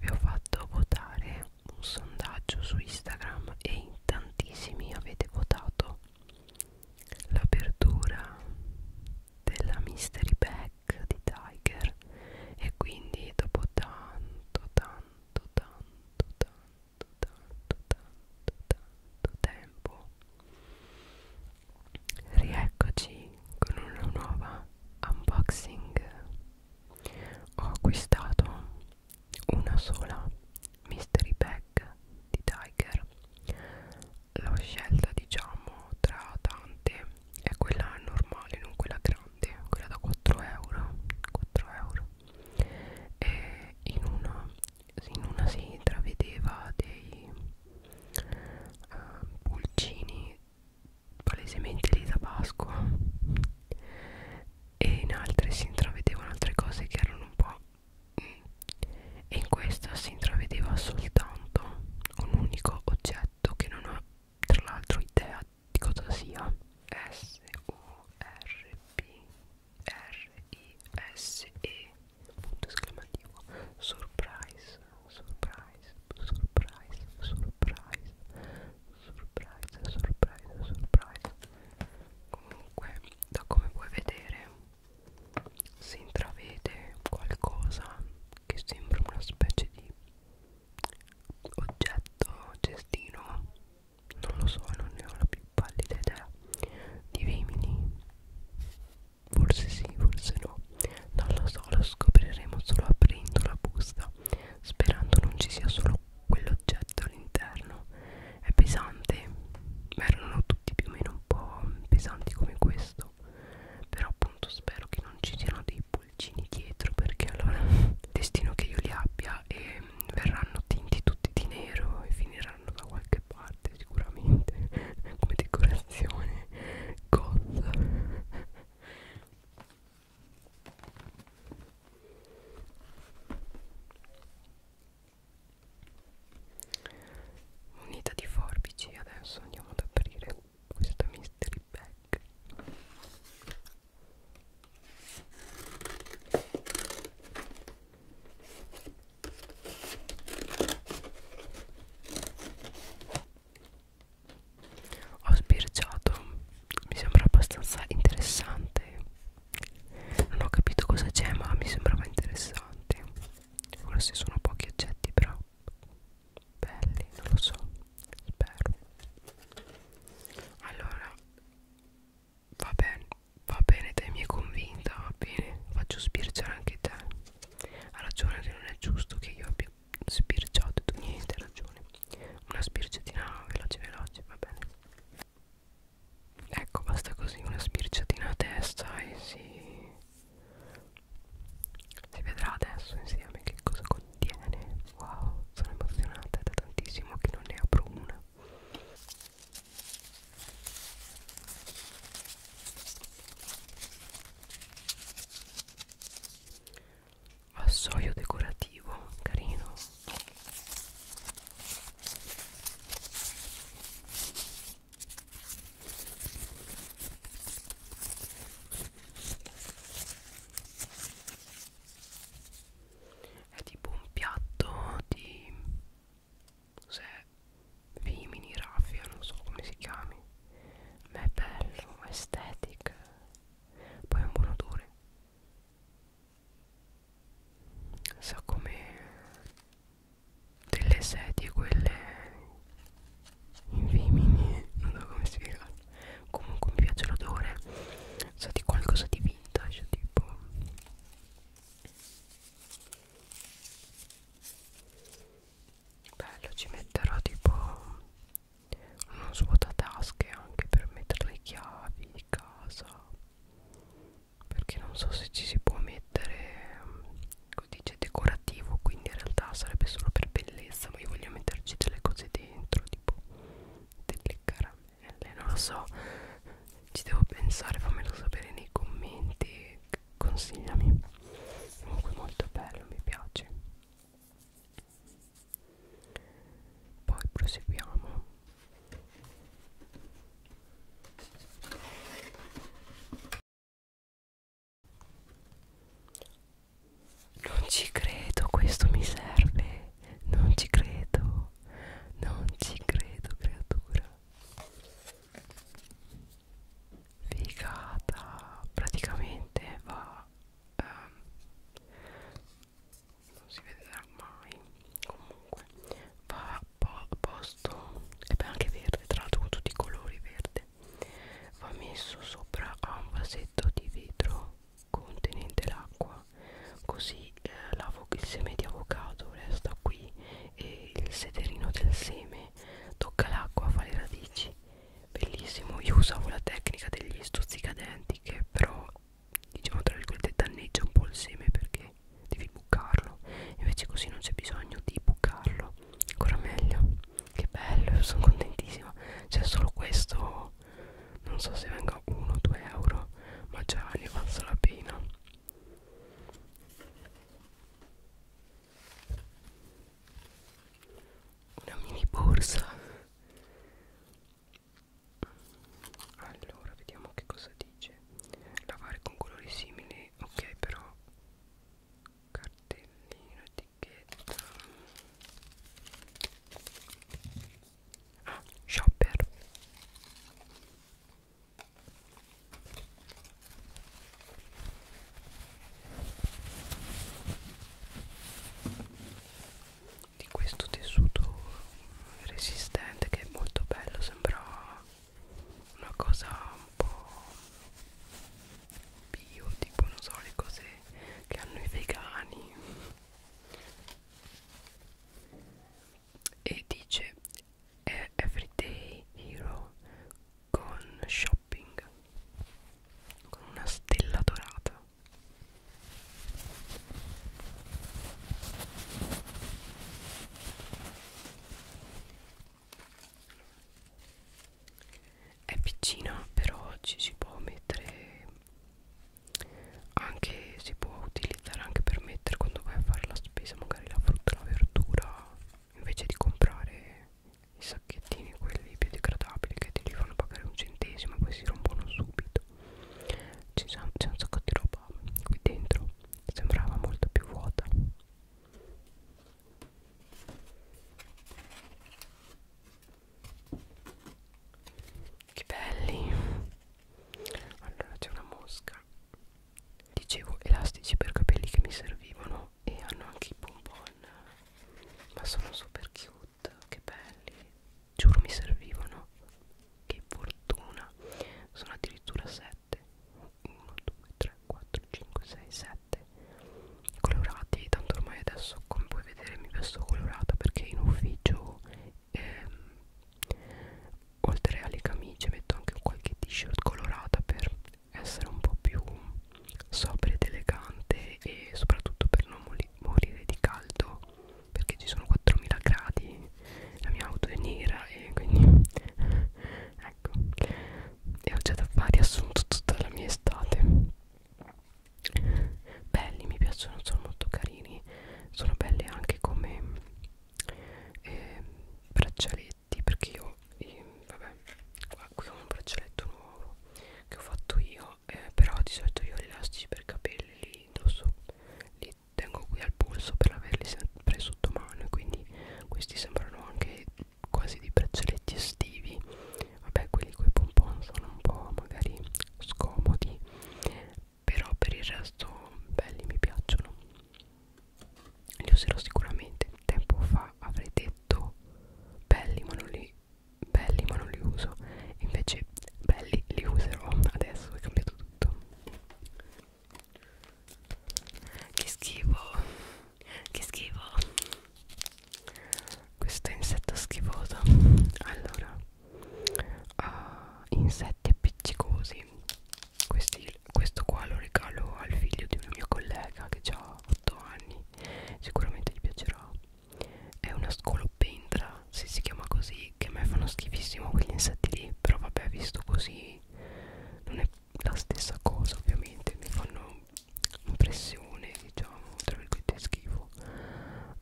vi ho fatto votare un sondaggio su Instagram e in tantissimi avete votato l'apertura della mystery bag di Tiger e quindi dopo tanto tanto tanto tanto tanto tanto tanto tempo rieccoci con una nuova unboxing ho acquistato una sola mystery bag di Tiger l'ho scelta diciamo tra tante è quella normale non quella grande quella da 4 euro 4 euro e in una in una si intravedeva dei eh, pulcini palesemente lì da Pasqua e in altre si intravedevano altre cose che erano un po' mm. e in questa si intravedeva soltanto un unico oggetto che non ho tra l'altro idea di cosa sia S U R P R I S E punto esclamativo surprise surprise surprise, surprise, surprise, surprise, surprise. Comunque, da come puoi vedere, si intravede qualcosa che sembra una specie di oggetto cestino. Non lo so, non ne ho la più pallida idea. Di vimini forse sì, forse no. Non lo so, lo scopriremo solo aprendo la busta, sperando non ci sia solo quell'oggetto all'interno. È pesante, ma erano tutti più o meno un po' pesanti come questo. Però appunto spero che non ci siano dei pulcini dietro, perché allora destino che io li abbia e verranno tinti tutti di nero e finiranno da qualche parte sicuramente come decorazione goth unita di forbici adesso andiamo ad aprire questa mystery bag ho sbirciato mi sembra abbastanza interessante non ho capito cosa c'è ma mi sembrava interessante forse sono pochi oggetti però belli non lo so spero allora va bene va bene te mi è convinta va bene faccio sbirciare anche te ha ragione che non è giusto che io abbia Sbirciato, tu niente ragione. Una sbirciatina veloce veloce, va bene. Ecco, basta così, una sbirciatina a testa e si... Si vedrà adesso insieme che cosa contiene. Wow, sono emozionata da tantissimo che non ne apro una vassoio decorativo carino è tipo un piatto di se Vimini, raffia, non so come si chiami ma è bello, estetica poi è un buon odore sa come delle sedie quelle invimini non so come spiegarlo comunque mi piace l'odore sa di qualcosa di vintage tipo bello ci metterò tipo uno svuotatasche anche per mettere le chiavi di casa perché non so se ci si può mettere codice decorativo quindi in realtà sarebbe solo per bellezza ma io voglio metterci delle cose dentro tipo delle caramelle non lo so ci devo pensare fammelo sapere nei commenti consigliami comunque molto bello mi piace poi proseguiamo non ci credo questo mi serve non ci credo non ci credo creatura figata praticamente va ehm, non si vedrà mai comunque va a po posto e beh anche verde tra l'altro con tutti i colori verde va messo sopra a un vasetto di vetro contenente l'acqua così eh, il seme di avocado resta qui e il sederino del seme tocca l'acqua fa le radici bellissimo io usavo la tecnica degli stuzzicadenti che però diciamo tra virgolette danneggia un po' il seme perché devi bucarlo invece così non c'è bisogno di bucarlo ancora meglio che bello sono contentissima c'è solo questo non so se venga 1 2 euro ma già ne avanza la pena una mini borsa allora vediamo che cosa dice lavare con colori simili ok però cartellino etichetta ah shopper di questo tessuto resistente che è molto bello sembra una cosa un po' bio tipo non so le cose che hanno i vegani e dice everyday hero con shopping con una stella dorata è piccina però ci si può mettere anche si può utilizzare anche per mettere quando vai a fare la spesa magari la frutta la verdura invece di comprare i sacchettini quelli biodegradabili che ti li fanno pagare un centesimo e poi si rompono subito c'è un sacco di roba qui dentro sembrava molto più vuota che belli allora c'è una mosca dicevo elastici per capelli che mi servivano e hanno anche i bonbon ma sono super cute che belli giuro mi servivano che fortuna sono addirittura 7 1 2 3 4 5 6 7 colorati tanto ormai adesso come puoi vedere mi vesto colorata perché in ufficio ehm, oltre alle camicie metto anche qualche t-shirt colorata per essere un po' più sobria ed elegante e soprattutto per non morire di caldo perché ci sono 4000 gradi la mia auto è nera e quindi ecco e ho già da fare riassunto tutta la mia estate belli mi piacciono sono molto carini sono belli anche come eh, braccialetti perché io eh, vabbè qui ho un braccialetto nuovo che ho fatto io eh, però di solito io gli elastici per capelli li indosso li tengo qui al polso per averli sempre sotto mano e quindi questi sembrano anche quasi dei braccialetti estivi vabbè quelli coi pompon sono un po' magari scomodi però per il resto belli mi piacciono li userò sicuramente tempo fa avrei detto belli ma non li belli ma non li uso invece belli li userò adesso è cambiato tutto che schifo che schifo questo insetto schifoso allora uh, insetti appiccicosi Questi, questo qua lo regalo al figlio di un mio collega che ha 8 anni sicuramente gli piacerà è una scolopendra se si chiama così che a me fanno schifissimo quegli insetti lì però vabbè visto così non è la stessa cosa ovviamente mi fanno impressione diciamo tra virgolette schifo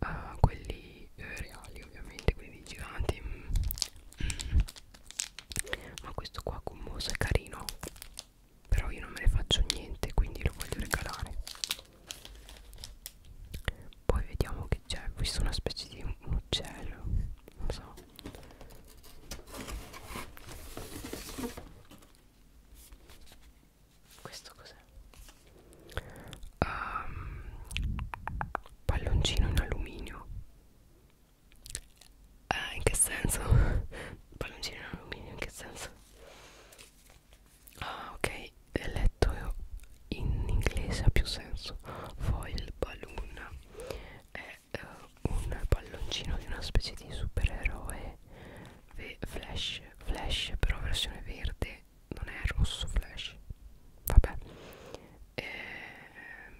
a uh, quelli eh, reali ovviamente quelli giganti mm. ma questo qua con moso è carino però io non me ne faccio niente quindi lo voglio regalare poi vediamo che c'è questo è una specie di un uccello non so questo cos'è? Um, palloncino in alluminio eh, in che senso? palloncino in alluminio in che senso? Ah ok, letto in inglese ha più senso. Foil balloon è uh, un palloncino di una specie di supereroe flash, flash però versione verde, non è rosso flash. Vabbè. Ehm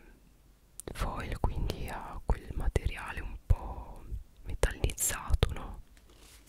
foil quindi ha quel materiale un po' metallizzato no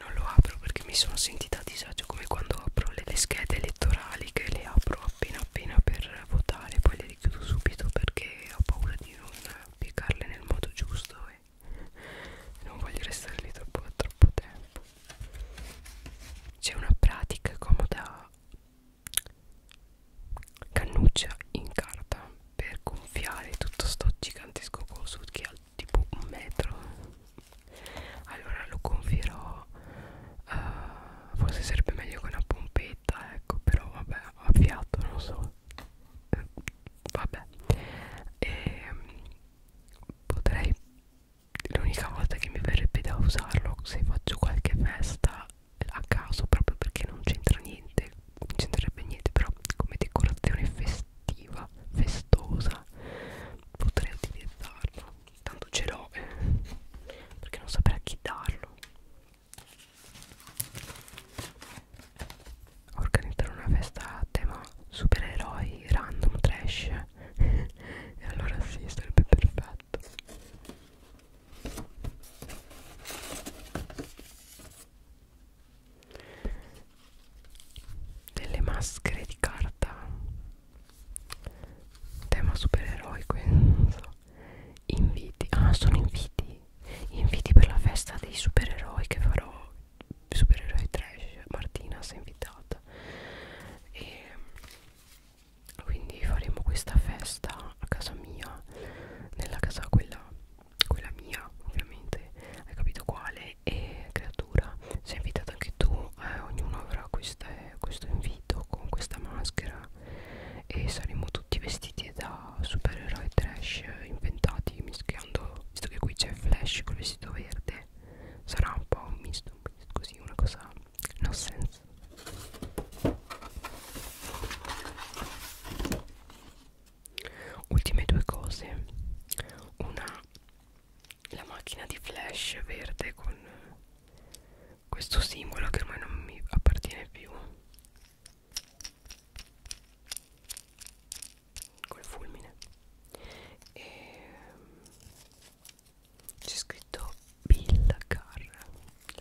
non lo apro perché mi sono sentita a disagio come quando apro le, le schede elettorali che le apro appena appena per votare poi le richiudo subito perché ho paura di non piegarle nel modo giusto e non voglio restare lì troppo, troppo tempo c'è una pratica comoda cannuccia in carta per gonfiare tutto sto gigantesco coso che ha tipo un metro allora lo gonfierò uh, forse sarebbe meglio con una pompetta ecco però vabbè a fiato non so eh, vabbè e, ehm, potrei l'unica volta che mi verrebbe da usarlo se faccio qualche festa a caso proprio perché non c'entra niente non c'entrerebbe niente però come decorazione festiva attiva, festosa potrei utilizzarlo tanto ce l'ho eh, perché non saprei a chi darlo organizzare una festa a tema supereroi random trash e allora sì sarebbe perfetto delle maschere di carta tema supereroico non so. inviti ah sono inviti inviti per la festa dei supereroi che farò supereroi trash Martina si è invitata e quindi faremo questa festa a casa mia nella casa quella quella mia ovviamente hai capito quale e creatura sei invitato anche tu eh, ognuno avrà queste, questo invito con questa maschera e saremo tutti vestiti da supereroi trash eh, inventati mischiando visto che qui c'è Flash col vestito verde sarà un po' un misto, un misto così una cosa no sense ultime due cose una la macchina di flash verde con questo simbolo che ormai non mi appartiene più col fulmine e mm, c'è scritto Bill Car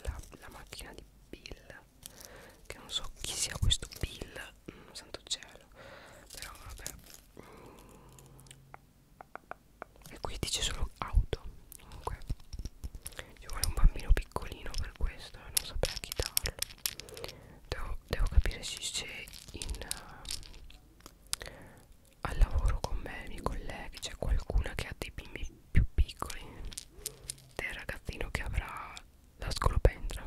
la, la macchina di Bill che non so chi sia questo Bill mm, santo cielo però vabbè mm. e qui dice solo auto comunque ci vuole un bambino piccolino per questo non saprei a chi darlo devo, devo capire se c'è in uh, al lavoro con me i miei colleghi c'è qualcuna che ha dei bimbi più piccoli del ragazzino che avrà la scolopendra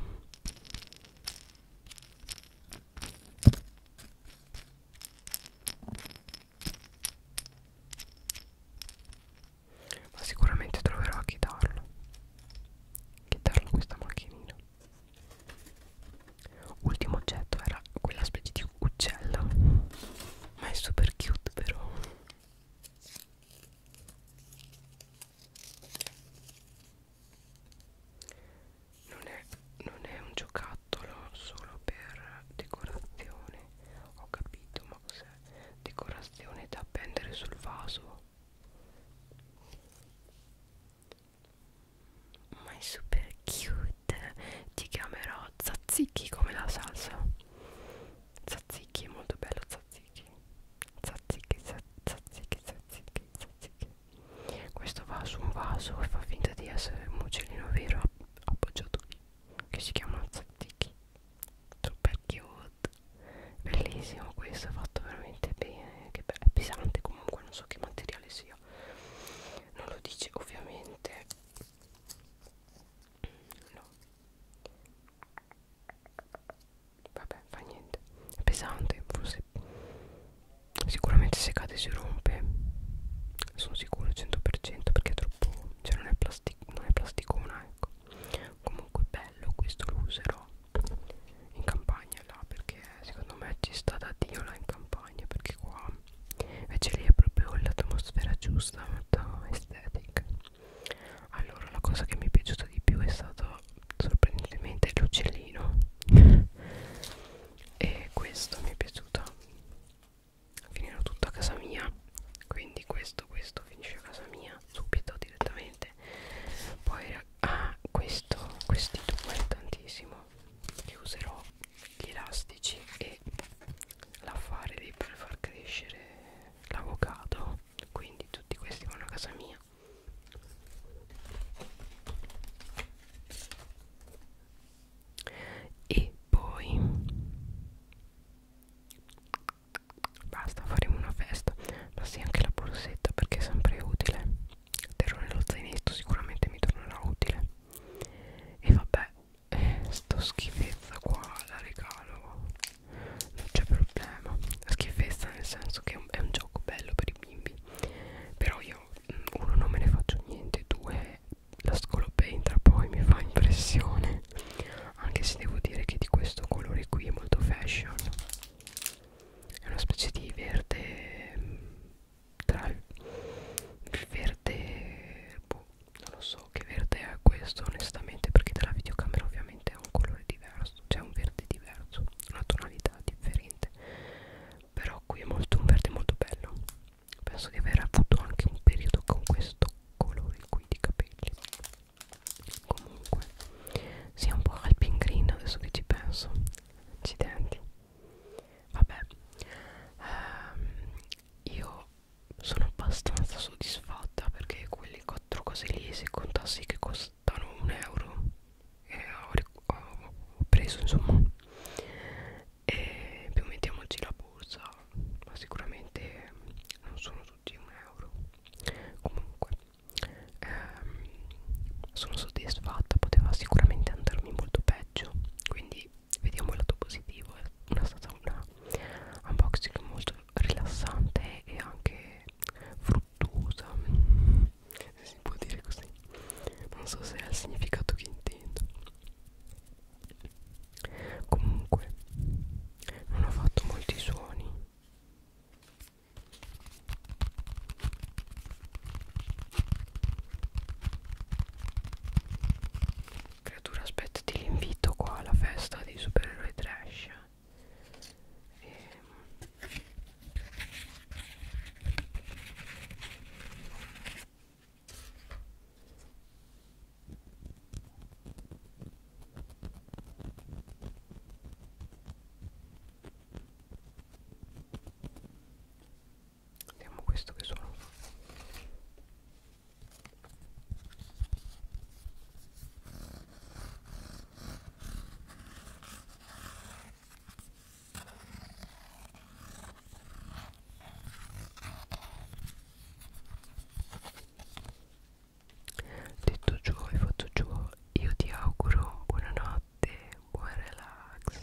ma sicuramente troverò a chitarlo chitarlo questa macchinina ultimo oggetto era quella specie di uccello ma è super cute però non è, non è un giocattolo solo per decorazione ho capito ma cos'è decorazione da appendere sul vaso ma è super cute ti chiamerò Zazzicchi come la salsa Zazzicchi è molto bello Zazzicchi Zazzicchi Zazzicchi Zazzicchi Zazzicchi questo va su un vaso e fa finta di essere un uccellino vero appoggiato lì che si chiama Zattichi super cute bellissimo questo è fatto veramente bene che è pesante comunque non so che materiale sia non lo dice ovviamente no vabbè fa niente è pesante forse sicuramente se cade si rompe sono sicuro 100% perché è troppo cioè non è, plastic, non è plasticona ecco comunque bello questo lo userò in campagna là perché secondo me ci sta da dio là in campagna perché qua invece lì è proprio l'atmosfera giusta molto estetica allora la cosa che mi è piaciuta di più è stata sorprendentemente l'uccellino e questo mi è piaciuto finirò tutto a casa mia quindi questo questo finisce a casa mia subito direttamente poi ah questo questi due tantissimo che userò gli elastici e l'affare lì per far crescere l'avocado quindi tutti questi vanno a casa mia e poi basta faremo una festa ma sì anche la borsetta perché è sempre utile terrò nello zainetto sicuramente mi tornerà utile e vabbè eh, sto schifezza qua la regalo non c'è problema schifezza nel senso che è un, è un gioco bello per i bimbi però io mm, uno non me ne faccio niente due la scolopendra poi mi fa impressione anche se devo dire che di questo colore qui è molto fashion è una specie di verde mm, tra il verde boh, non lo so che verde è questo onestamente perché dalla videocamera ovviamente è un colore diverso contrasto c'è un verde diverso una tonalità differente però qui è molto un verde molto bello penso di aver avuto anche un periodo con questo colore qui di capelli comunque sia un po' alpin green adesso che ci penso accidenti vabbè ehm, io sono abbastanza soddisfatta perché quelle quattro cose lì se contassi che, costano un euro e ho, ho, ho preso insomma e più mettiamoci la borsa ma sicuramente non sono tutti un euro comunque ehm, sono soddisfatta poteva sicuramente andarmi molto peggio quindi vediamo il lato positivo è stata una unboxing molto rilassante e anche fruttuosa se si può dire così non so se è il significato che intendo comunque non ho fatto molti suoni creatura aspettati l'invito qua alla festa dei supereroi trash e... Vediamo questo che sono Detto ciò e fatto ciò, io ti auguro buonanotte, buon relax.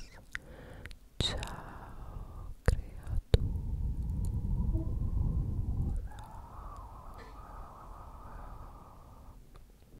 Ciao creatura.